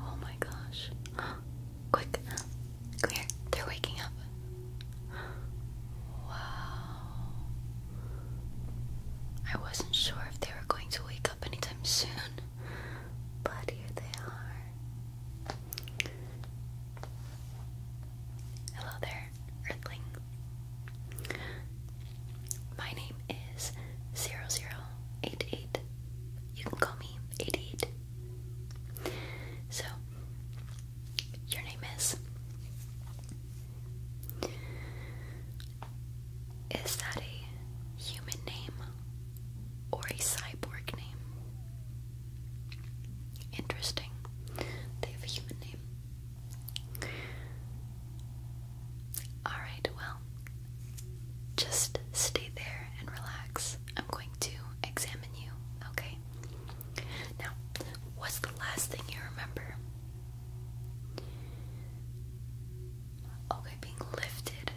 Oh my gosh. Quick. Come here. They're waking up. Wow. I wasn't sure if they were going to wake up anytime soon, but here they are. Hello there, Earthling. My name is 0088. You can call me 88. So, your name is. Is that a human name or a cyborg name? Interesting. They have a human name. Alright, well, just stay there and relax. I'm going to examine you, okay? Now, what's the last thing you remember? Okay, being lifted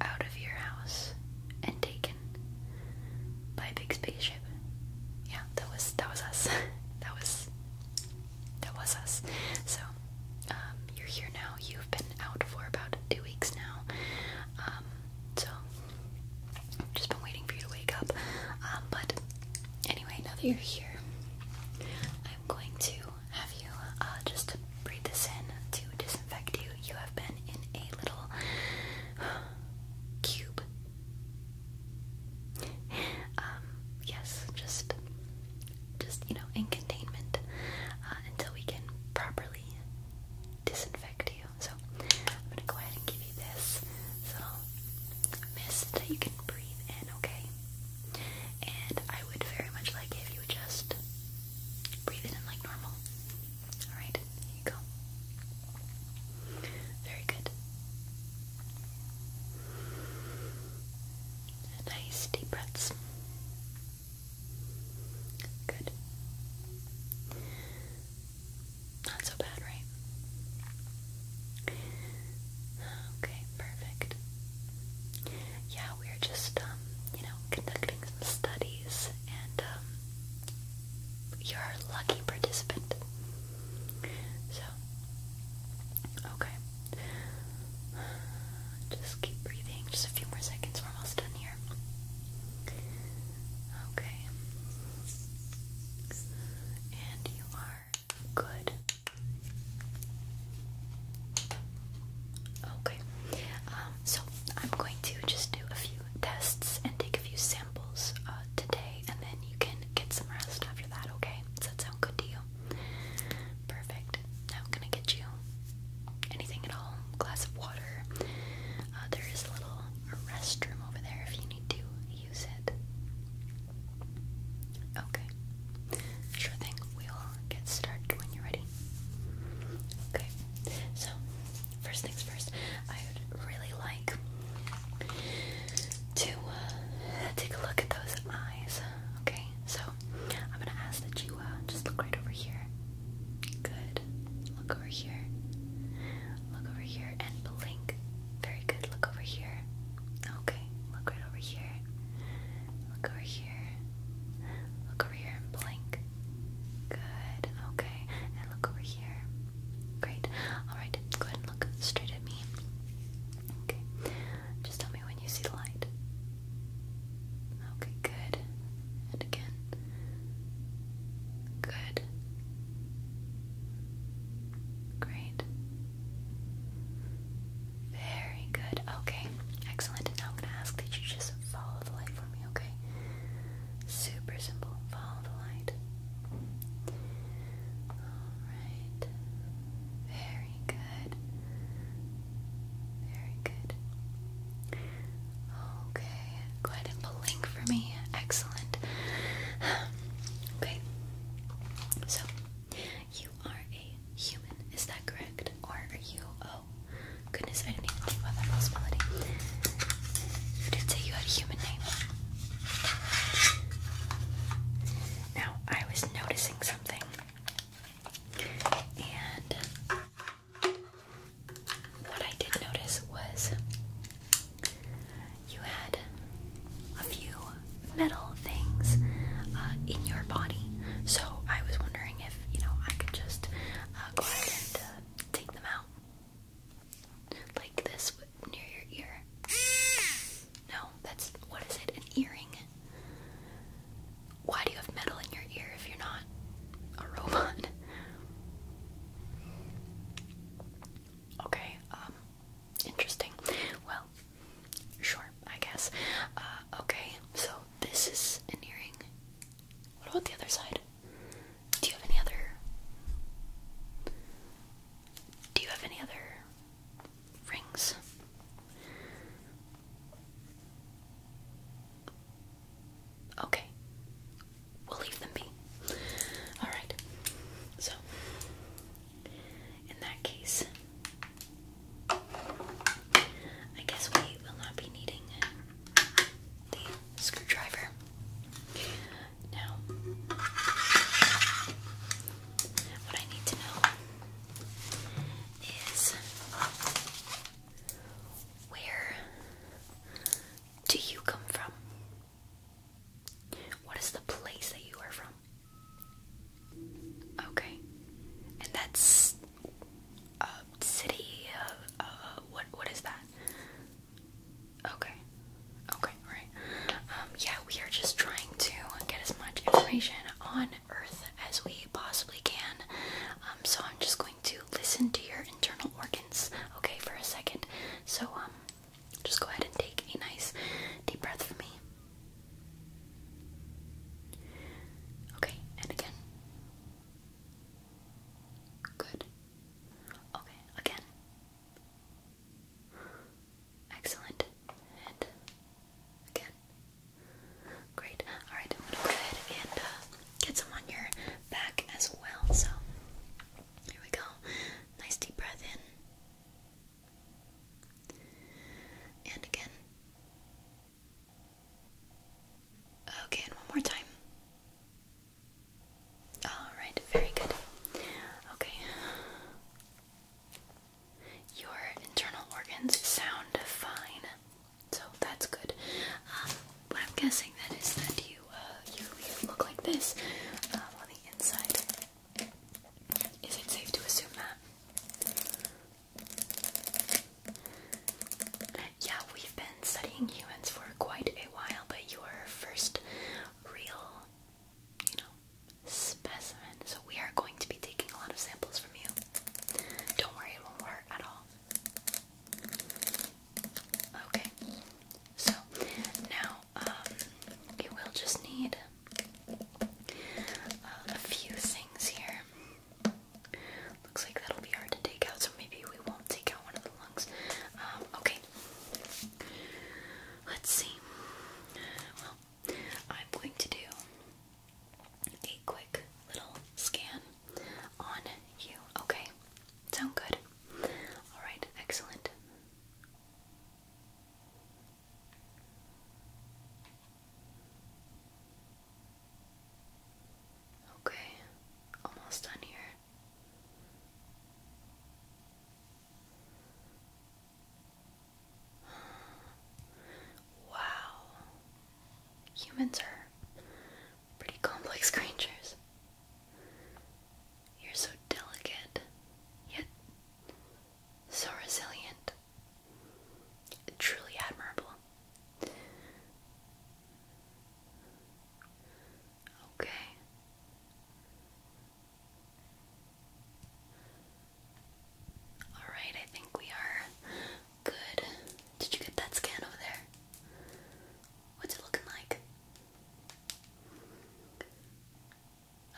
out of your house and taken by a big spaceship. Yeah, that was that was us. that was that was us. So, um, you're here now. You've been out for about two weeks now. Um, so, just been waiting for you to wake up. Um, but anyway, now that you're here, I'm going to have you uh, just breathe this in to disinfect you. You have been in a little cube. Um, yes, just just you know in containment uh, until we can properly disinfect you. So I'm gonna go ahead and give you this little mist that you can breathe in, okay? And I would very much like if you would just breathe in like normal. Alright, here you go. Very good. Nice deep breaths. Good. Not so bad, right? Okay, perfect. Yeah, we're just, um, you know, conducting some studies, and, um, you're a lucky participant. So, okay. Just keep breathing. Just a few more seconds. We're almost done here. Okay. And you are good. Okay. Um, so I'm going to just do a few tests and take a few samples uh, today, and then you can get some rest after that. Okay? Does that sound good to you? Perfect. Now, I'm gonna get you anything at all? Glass of water. Uh, there is a little restroom over there if you need to use it. Okay. Sure thing. We'll get started when you're ready. Okay. So, first things first, I would really like to uh, take a look at those eyes. Okay. So, I'm gonna ask that you uh, just look right over here. Good. Look over here. Look over here and blink. Very good. Look over here. Okay. Look right over here. Look over here. Look over here and blink. Good. Okay. And look over here. Great. Alright. Go ahead and look straight at me. Okay. Just tell me when you see the light. Okay, good. And again. Good. Great. Very good. Okay, excellent. now I'm going to ask that you just follow the light for me, okay? Super simple. Follow the light. Alright. Very very good. Very good. Okay, go ahead and blink for me. Excellent. Okay, so you are a human, is that correct? Or are you? Oh, goodness, I didn't think about that possibility. You did say you had a human name. Now, I was noticing something. And what I did notice was you had a few metal things uh, in your body, so I was wondering if you know I could just uh, go ahead and uh, take them out like this near your ear. No, that's what is it? An earring. Why do you have metal in your ear if you're not a robot? Okay, um, interesting. Well, sure, I guess. Uh, okay, so this is an earring. What about the other side? Do you have any other? Do you have any other rings. Okay, we'll leave them be. Alright, so in that case, I guess we will not be needing the screwdriver. Now, what I need to know is where do you come from? What is the place that you are from? Okay. And that's a city, uh, what, what is that? Okay. Okay, right. Um, yeah, we are just trying to get as much information on earth as we possibly can. Um, so I'm just going to listen to your internal organs, okay, for a second. So um, just go ahead and take a nice deep breath for me. Okay, and again. Good. Okay, again. Excellent. And Again. Great. Alright, I'm gonna go ahead and uh, get some on your back as well. So, here we go. Nice deep breath in. And again. Okay, one more time. Alright, very good. Okay. Your internal organs sound fine, so that's good. Um, I'm guessing that is that uh, you you look like this um, on the inside. Is it safe to assume that? Yeah, we've been studying humans for quite a while, but your first real you know, specimen. So we are going to be taking a lot of samples from you. Don't worry, it won't hurt at all. Okay. So now um, will just need uh, a few things here. Looks like that'll be hard to take out, so maybe we won't take out one of the lungs. Um, okay. Let's see. I'm going to do a quick little scan on you. Okay, sound good? Alright, excellent. Okay, almost done here. Wow. Humans are pretty complex creatures. You're so delicate, yet so resilient. Truly admirable. Okay. Alright, I think we are good. Did you get that scan over there? What's it looking like?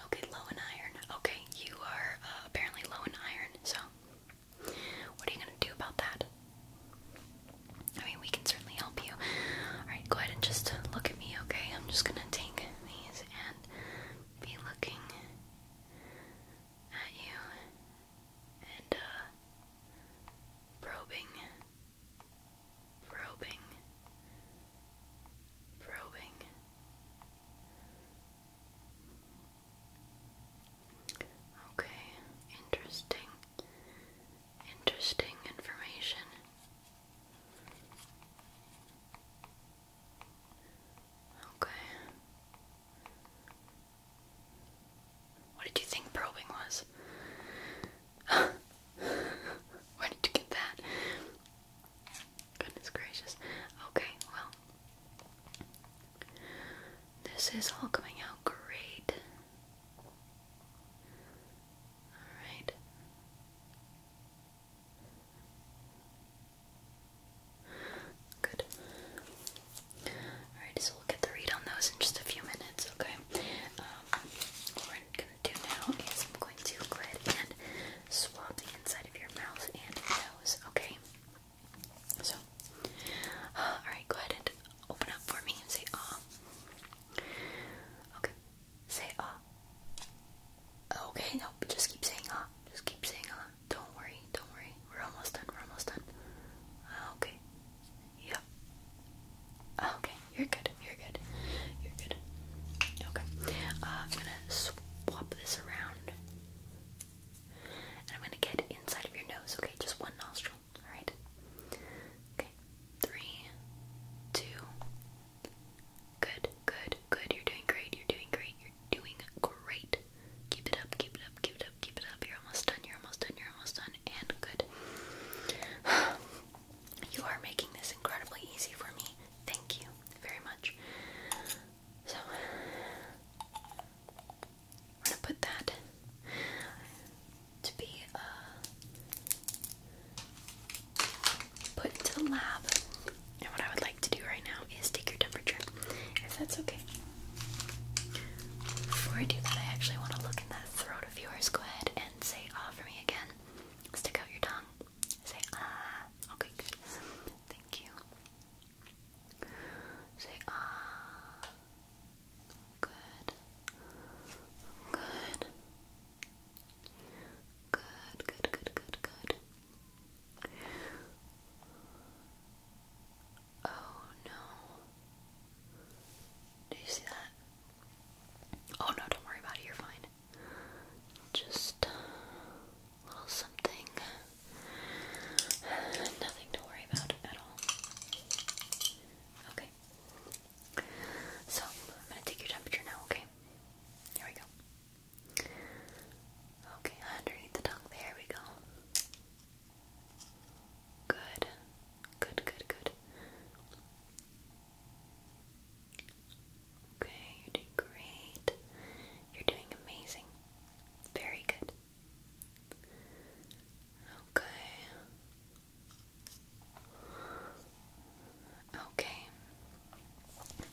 Okay, low in iron. Okay, you are uh, apparently low in iron, so what are you gonna do about that? I mean, we can certainly help you. Alright, go ahead and just look at me, okay? I'm just gonna take these and be looking at you and uh, probing probing probing okay interesting interesting information Okay. What did you think probing was? Where did you get that? Goodness gracious. Okay, well, this is all coming out great. Alright. Good. Alright, so we'll get the read on those in just a few minutes, okay? Um, what we're gonna do now is I'm going to go ahead and swab the inside of your mouth and nose, okay? So, uh, alright, go ahead and open up for me and say ah. Okay, say ah. Oh, okay, no, just keep saying huh. Just keep saying huh. Don't worry, don't worry. We're almost done. We're almost done. Uh, okay. Yep. Uh, okay, you're good. You're good. You're good. Okay. Uh, I'm gonna swap this around. And I'm gonna get inside of your nose, okay? Just one nostril, alright? Okay. Three, two, Good, good, good. You're doing great. You're doing great. You're doing great. Keep it up, keep it up, keep it up, keep it up. You're almost done. You're almost done. You're almost done. And good. You are making this incredibly easy for me. Thank you very much. So, I'm gonna put that to be uh, put into the lab. And what I would like to do right now is take your temperature, if that's okay. Before I do that, I actually want to look in that throat of yours. Go ahead and say ah for me again. Stick out your tongue. Say ah. Okay, good. Thank you. Say ah. Good. Good. Good, good, good, good, good. Oh no. Do you see that? Oh no, don't worry about it, you're fine. Just a little something. Nothing to worry about at all. Okay. So, I'm gonna take your temperature now, okay? Here we go. Okay, underneath the tongue. There we go. Good. Good, good, good. Okay, you're doing great. You're doing amazing. Very good. Okay. Okay.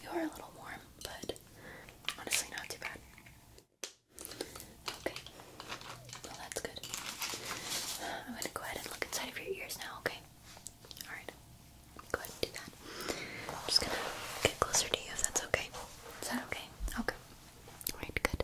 You are a little warm, but honestly, not too bad. Okay. Well, that's good. I'm gonna go ahead and look inside of your ears now, okay? Alright. Go ahead do that. I'm just gonna get closer to you if that's okay. Is that okay? Okay. Alright, good.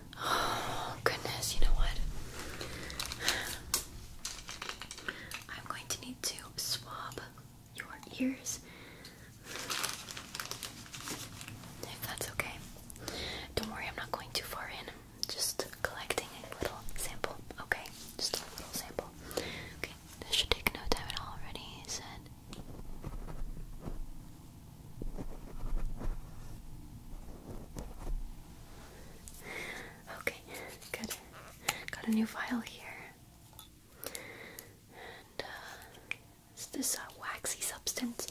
Oh goodness, you know what? I'm going to need to swab your ears. If that's okay. Don't worry, I'm not going too far in. Just collecting a little sample, okay? Just a little sample. Okay, this should take no time at all already, he said. Okay, good. Got a new file here. And uh, it's this waxy substance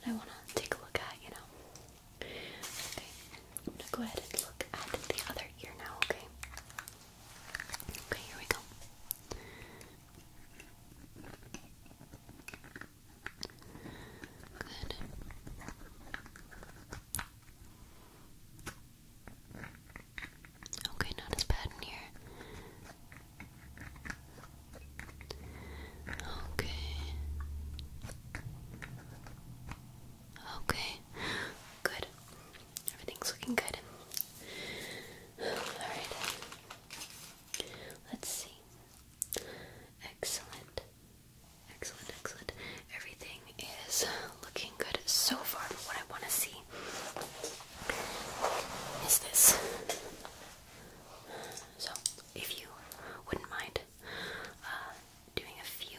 that I want to take a look at, you know. Okay, I'm gonna go ahead and look at the other ear now, okay? Okay, here we go. Good. Okay, not as bad in here. Okay. Okay. Good. Everything's looking good. Alright. Let's see. Excellent. Excellent, excellent. Everything is looking good so far, For what I want to see is this. So, if you wouldn't mind uh, doing a few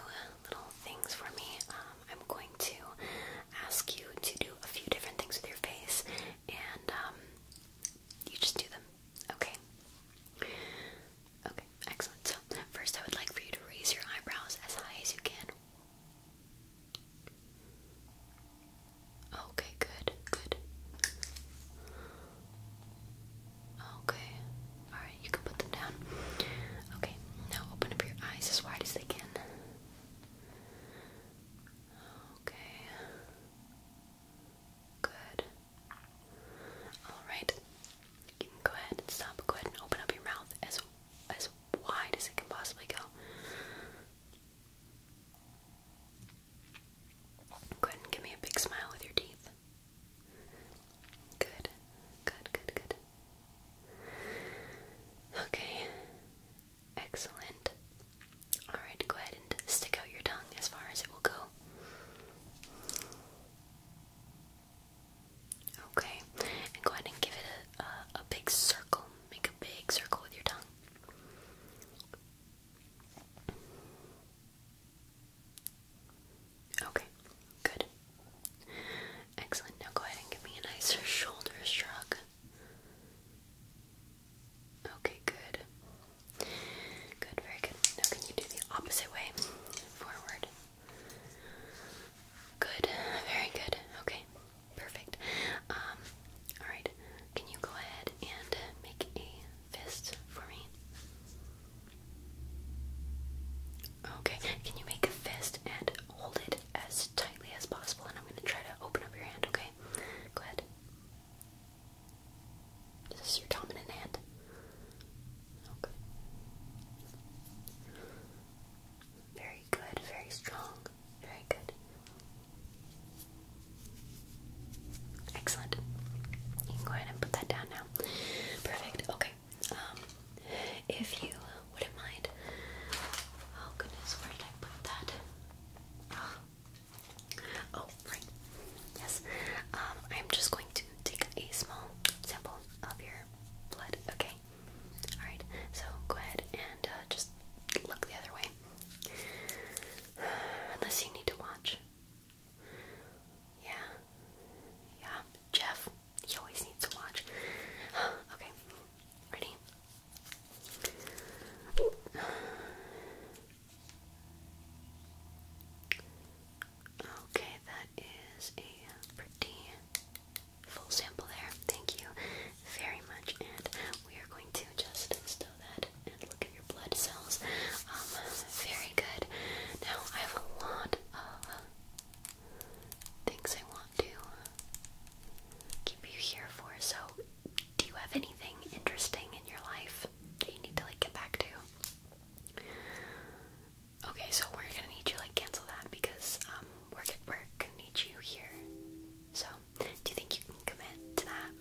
little things for me, um, I'm going to ask you to do a few different things with your face, and um, you just do them Okay. Okay, excellent. So, first I would like for you to raise your eyebrows as high as you can. Okay, good, good. Okay, alright, you can put them down. Okay, now open up your eyes as wide as they can. Okay. Good. Alright, go ahead and stop. Go ahead and open up your mouth as as wide as it can possibly go. Go ahead and give me a big smile with your teeth. Good, good, good, good. Okay, excellent. Alright, go ahead and stick out your tongue as far as it will go. Okay, and go ahead and give it a, a, big circle. Make a big circle with your tongue. Okay, good. Excellent. Now go ahead and give me a nice shoulder shrug. Okay, good. Good, very good. Now can you do the opposite way? Forward. Good, very good. Okay, perfect. Um, alright, can you go ahead and make a fist for me? Okay, can you make a fist and hold it as tightly as possible? And I'm going to try to open up your hand, okay? Go is this your dominant hand? Okay. Very good, very strong, very good. Excellent. You can go ahead and put that down now. Perfect. Okay. Um, if you wouldn't mind. Oh goodness, where did I put that? Oh, right. Yes. Um, I'm just going to take a small sample of your blood, okay? Alright, so go ahead and uh, just look the other way. Unless you need to watch. Yeah. Yeah. Jeff, he always needs to watch. okay. Ready? Okay, that is a pretty full sample there. Thank you very much. And we are going to just stow that and look at your blood cells. Um, very good. Now, I have a lot of things I want to keep you here for. So, do you have anything interesting in your life that you need to like get back to? Okay, so we're gonna need you like cancel that because um we're gonna, we're gonna need you here. So, do you think you can commit to that?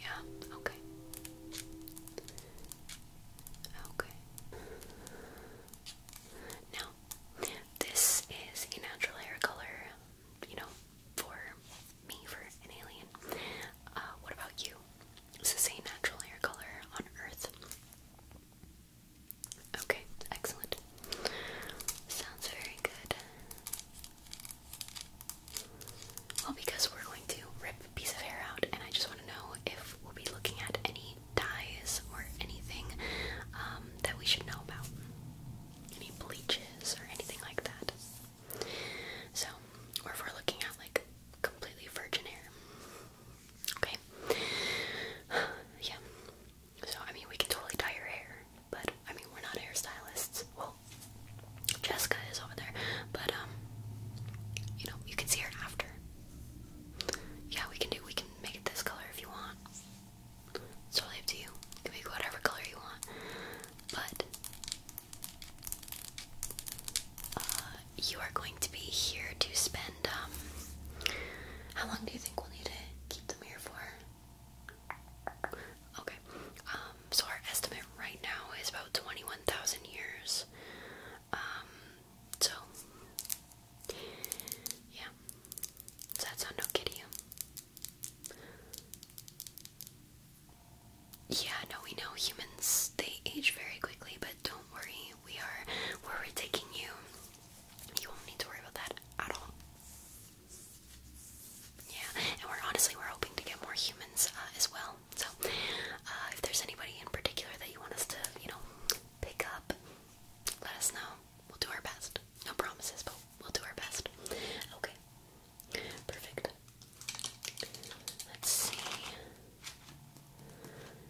Yeah. Okay. Okay. Now, this is a natural hair color. You know, for me, for an alien. Uh, what about you? Is this a natural hair color on Earth? Okay, excellent. Sounds very good. Well, because we're going to rip a piece of hair out, and I just want to know if we'll be looking at any dyes or anything um, that we should know about. Any bleaches or anything like that. So, or if we're looking at like completely virgin hair. Okay. yeah. So, I mean, we can totally dye your hair, but I mean, we're not hairstylists. Well, Jessica is over there, but um, you know, you can see her after. Yeah, we can do. We can make it this color if you want. It's totally up to you. You can make whatever color you want, but uh, you are going to be here to spend, um, how long do you think we'll need to keep them here for? Okay, um, so our estimate right now is about 21,000 years. Um, so, yeah. Does that sound okay you? Yeah, no, we know humans they age very quickly, but don't worry, we are where we're taking you. You won't need to worry about that at all. Yeah, and we're honestly we're hoping to get more humans uh, as well. So, uh, if there's anybody in particular that you want us to, you know, pick up, let us know. We'll do our best. No promises, but we'll do our best. Okay. Perfect. Let's see.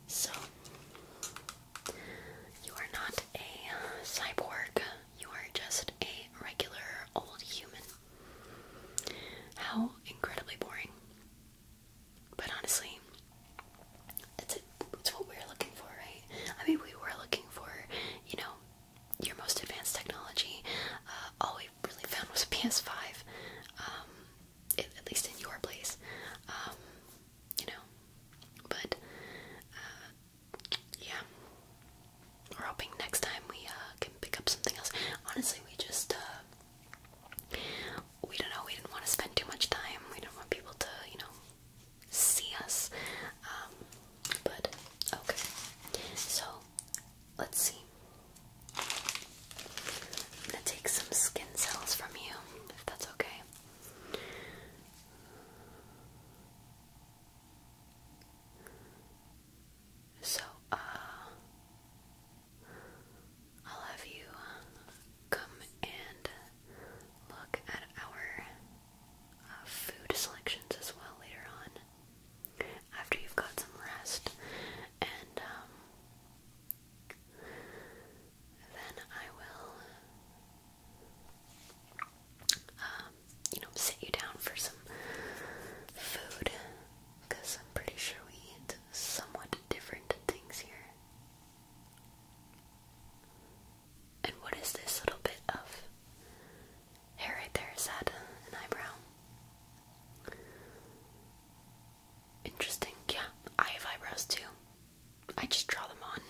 So, you are not a cyborg, you are just a regular old human. How incredibly boring. But honestly, that's a, it's what we were looking for, right? I mean, we were looking for, you know, your most advanced technology. Uh, all we really found was a PS5, um, at least in your place, um, you know. But uh, yeah, we're hoping next time we uh, can pick up something else. Honestly, we just we don't know. We didn't want to spend too much time. We do not want people to, you know, see us. Um, but okay, so Let's see. I'm gonna take some skin cells from you, if that's okay. So, uh, I'll have you come and look at our uh, food selections as well later on after you've got some rest, and um, then I will, um, you know, sit you down for some food I'm pretty sure we eat somewhat different things here. And what is this little bit of hair right there is head an eyebrow. Interesting. Yeah, I have eyebrows too. I just draw them on.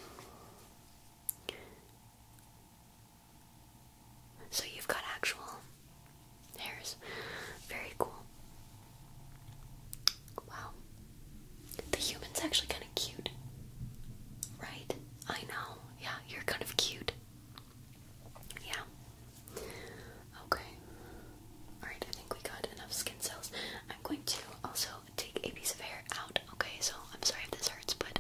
So you've got actual hairs. Very cool. Wow. The human's actually kind of cute. Right? I know. Yeah, you're kind of cute. Yeah. Okay. Alright, I think we got enough skin cells. I'm going to also take a piece of hair out, okay? So I'm sorry if this hurts, but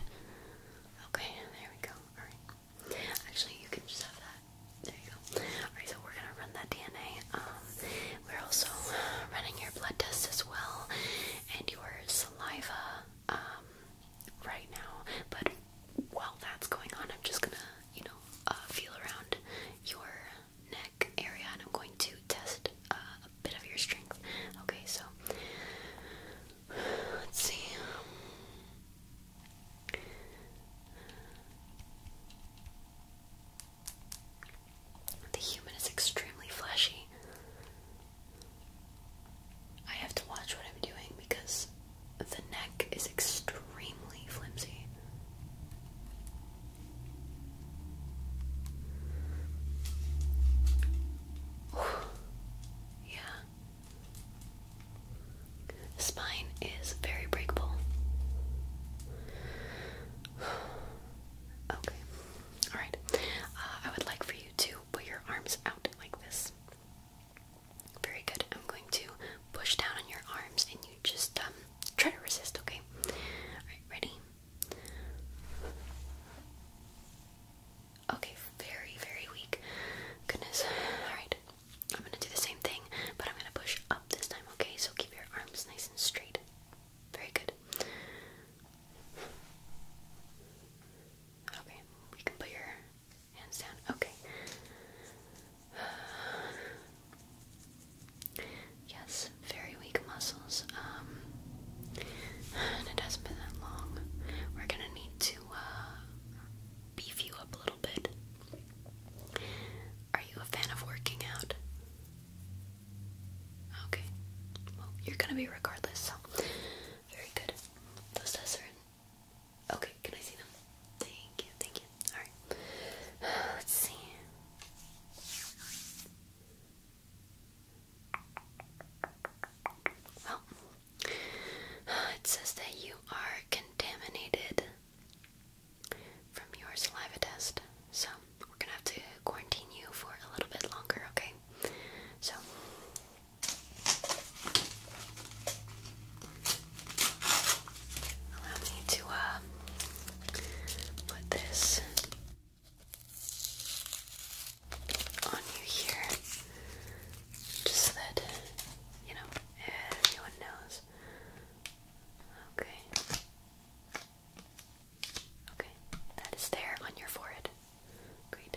okay, there we go. Alright. Actually you can just have that. There you go. Alright, so we're gonna run that DNA. Um we're also running your blood test as well and your saliva um, right now. But while that's going on, I'm just gonna, you know, uh, feel around your neck area and I'm going to test uh, a bit of your strength. Okay, so let's see. The human is extremely fleshy. I have to watch what I'm doing because the neck is extremely flimsy. yeah. The spine is very breakable. okay. Alright. Uh, I would like for you to put your arms out like this. Very good. I'm going to push down on your arms and you just um, try to resist, okay? ready? Okay, very, very weak. Goodness. Alright. I'm gonna do the same thing, but I'm gonna push up this time, okay? So keep your arms nice and straight. Very good. Okay, we can put your Hands down. Okay. Yes, very weak muscles. Um, it hasn't been that long. We're gonna need to uh, beef you up a little bit. Are you a fan of working out? Okay. you're gonna be regardless, so very good. Those tests are in Okay, can I see them? Thank you, thank you. Alright. Let's see. Well, it says that you are contaminated from your saliva test. So, we're gonna have to quarantine you for a little bit longer, okay? So, Allow me to uh, put this on you here, just so that you know everyone knows. Okay. Okay, that is there on your forehead. Great.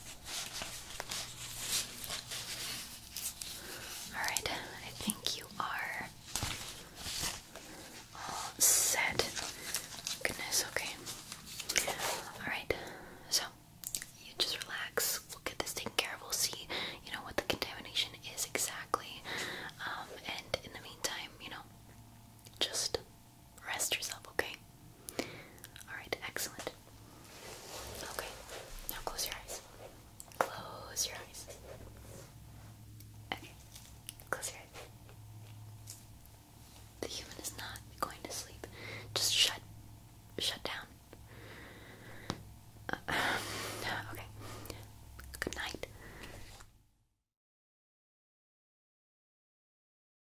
Alright, I think you are all set. Goodness, okay. Alright, so you just relax. We'll get this taken care of. We'll see, you know, what the contamination is exactly. Um, and in the meantime, you know, just rest yourself, okay? Alright, excellent. Okay, now close your eyes. Close your eyes. Okay, close your eyes. The human is not going to sleep. Just shut shut down. Uh, okay. Good night.